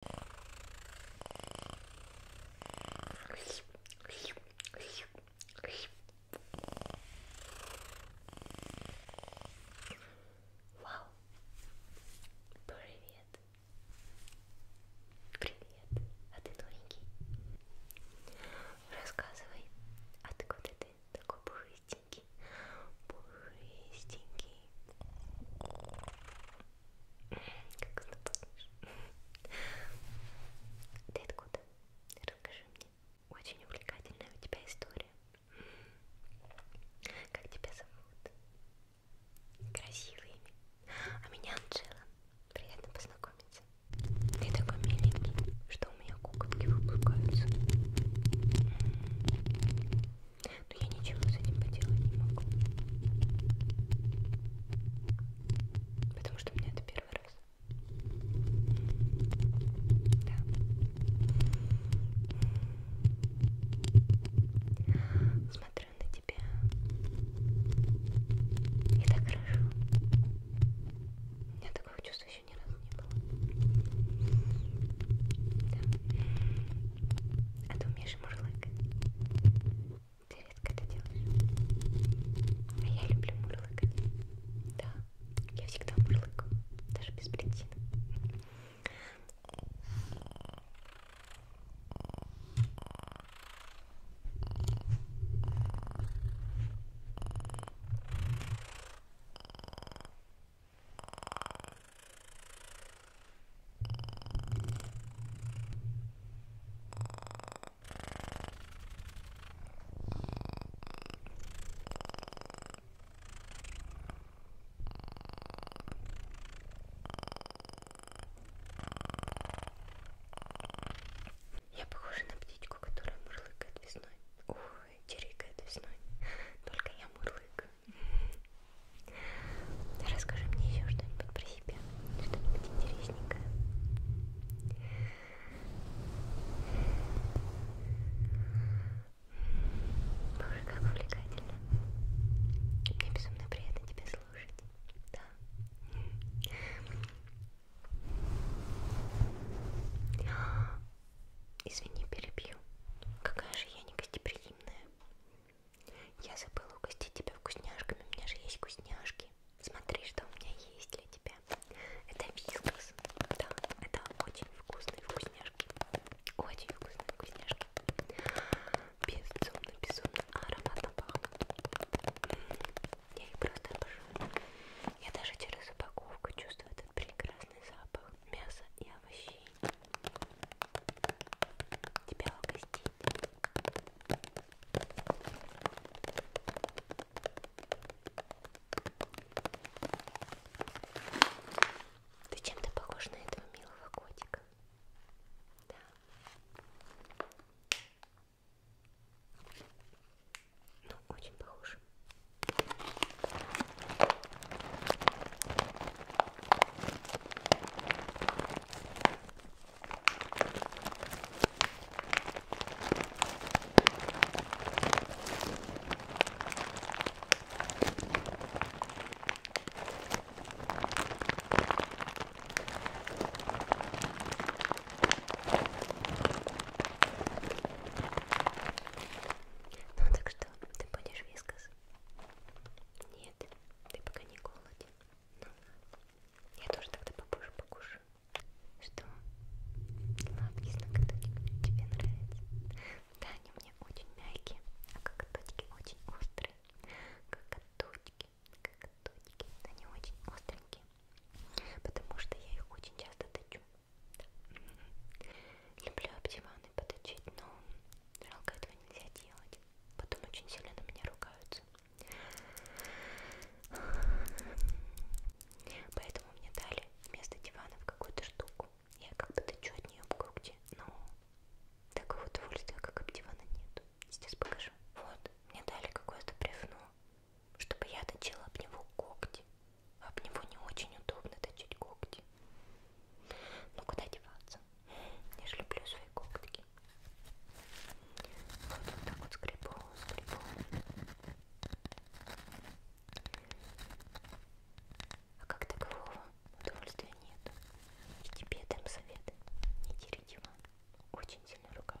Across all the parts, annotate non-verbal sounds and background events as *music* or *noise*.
Вау! Привет! Привет! А ты новенький? Рассказывай, откуда ты такой пушистенький? Пушистенький. Как ты помнишь? Ты откуда? Расскажи мне. Очень увлекательная у тебя история. Как тебя зовут? Красивое имя. А меня Анжела. Приятно познакомиться. Ты такой миленький, что у меня куколки выпускаются. Но я ничего с этим поделать не могу. Потому что у меня это первый раз. Да. Смотрю на тебя. И так хорошо. У меня такого чувства еще ни разу не было. Да. А ты умеешь мурлыкать? Ты редко это делаешь. А я люблю мурлыкать. Да, я всегда мурлыкаю, даже без причины. Я похожа на птичку, которая мурлыкает весной. Ой, чирикает весной. *laughs* Только я мурлык. Расскажи мне еще что-нибудь про себя, что-нибудь интересненькое. Боже, как увлекательно. Мне безумно приятно тебя слушать. Да. Извини, перебью. Какая же я не гостеприимная. Я забыла угостить тебя вкусняшками. У меня же есть вкусняшки. Смотри, что у меня есть для тебя. Это вискас. Да, это очень вкусные вкусняшки. Очень вкусные вкусняшки. Безумно, безумно ароматно пахнут. Я их просто обожаю. Я даже через упаковку чувствую этот прекрасный запах мяса и овощей. Тебя угостить. Ты чем-то похож на этого милого котика. Да. Ну, очень похож. Ну так что, ты будешь вискас? Нет, ты пока не голоден. Ну, я тоже тогда попозже покушаю. Что? Лапки с ноготочками тебе нравятся? Да, они мне очень мягкие, а коготочки очень острые. Коготочки, коготочки, они очень остренькие, потому что я их очень часто точу. Люблю обдиваны подочить, но жалко этого нельзя делать. Потом очень сильно на меня ругаются. Поэтому мне дали вместо дивана в какую-то штуку. Я как бы дочу от нее в груди, но такого удовольствия, как от дивана, нет. Сейчас покажу. Вот, мне дали какое-то бревно чтобы я точила об него когти. Об него не очень удобно точить когти. Ну куда деваться? Я же люблю свои когтики. Вот, вот так вот скребу, скребу. А как такового удовольствия нет. И тебе дам совет. Не дери диван. Очень сильно рука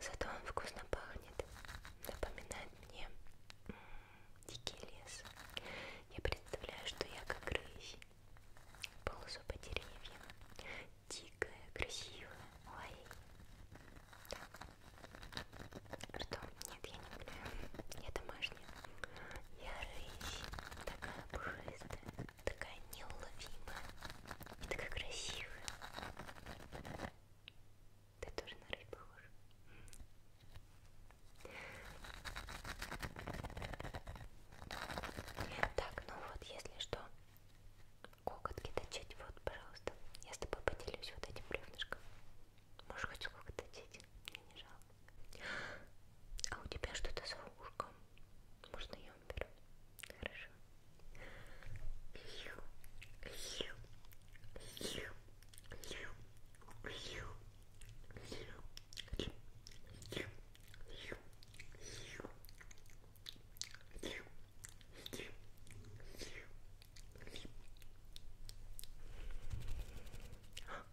Зато он вкусно пахнет, напоминает мне м -м, дикий лес. Я представляю, что я как рысь, ползу по деревьям, дикая, красивая. Ой, да. что? Нет, я не люблю. Я думаю, башни. Я рысь, такая пушистая, такая неуловимая и такая красивая. Ты тоже на рысь похожа. Так, ну вот, если что, кокотки точить, вот, пожалуйста. Я с тобой поделюсь вот этим бревнышком. Можешь хоть сколько точить? Мне не жалко. А у тебя что-то за ушком. Можно я уберу? Хорошо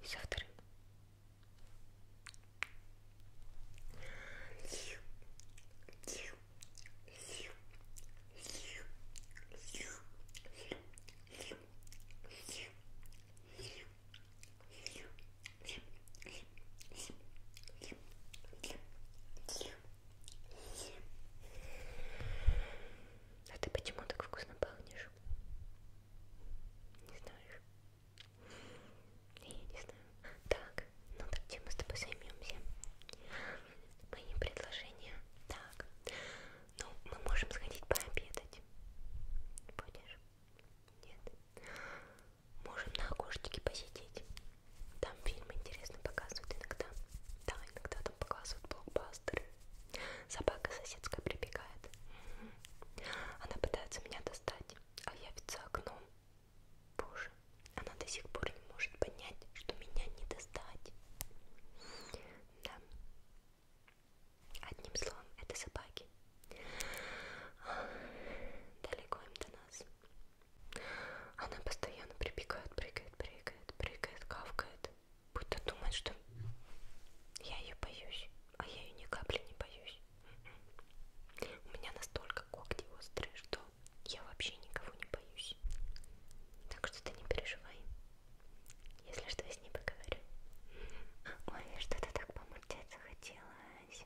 и со вторым. А ты почему так вкусно пахнешь? Не знаешь? Я не знаю. Так, ну так чем мы с тобой займемся? Мои предложения. Так, ну мы можем сходить пообедать. Будешь? Нет. Можем на окошечке посидеть. Там фильмы интересно показывают иногда. Да, иногда там показывают блокбастеры. Собака соседская прибегает. Она пытается меня достать, а я ведь за окном. Боже, она до сих пор не может понять, что меня не достать. Да. Одним словом, это собаки. Далеко им до нас. Она постоянно прибегает, прыгает, прыгает, прыгает, кавкает. Будто думает, что я ее боюсь, а я ее ни капли не боюсь. У меня настолько когти острые, что я вообще никого не боюсь. Так что ты не переживай. Если что, я с ней поговорю. Ой, я что-то так помурчать захотелось.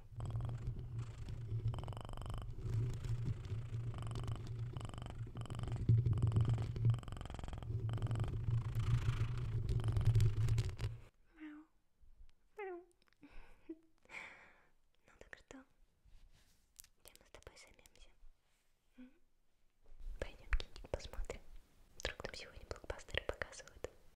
*laughs* Ну так что, где мы с тобой займемся? Пойдем кинчик посмотрим. Вдруг там сегодня блокбастеры показывают.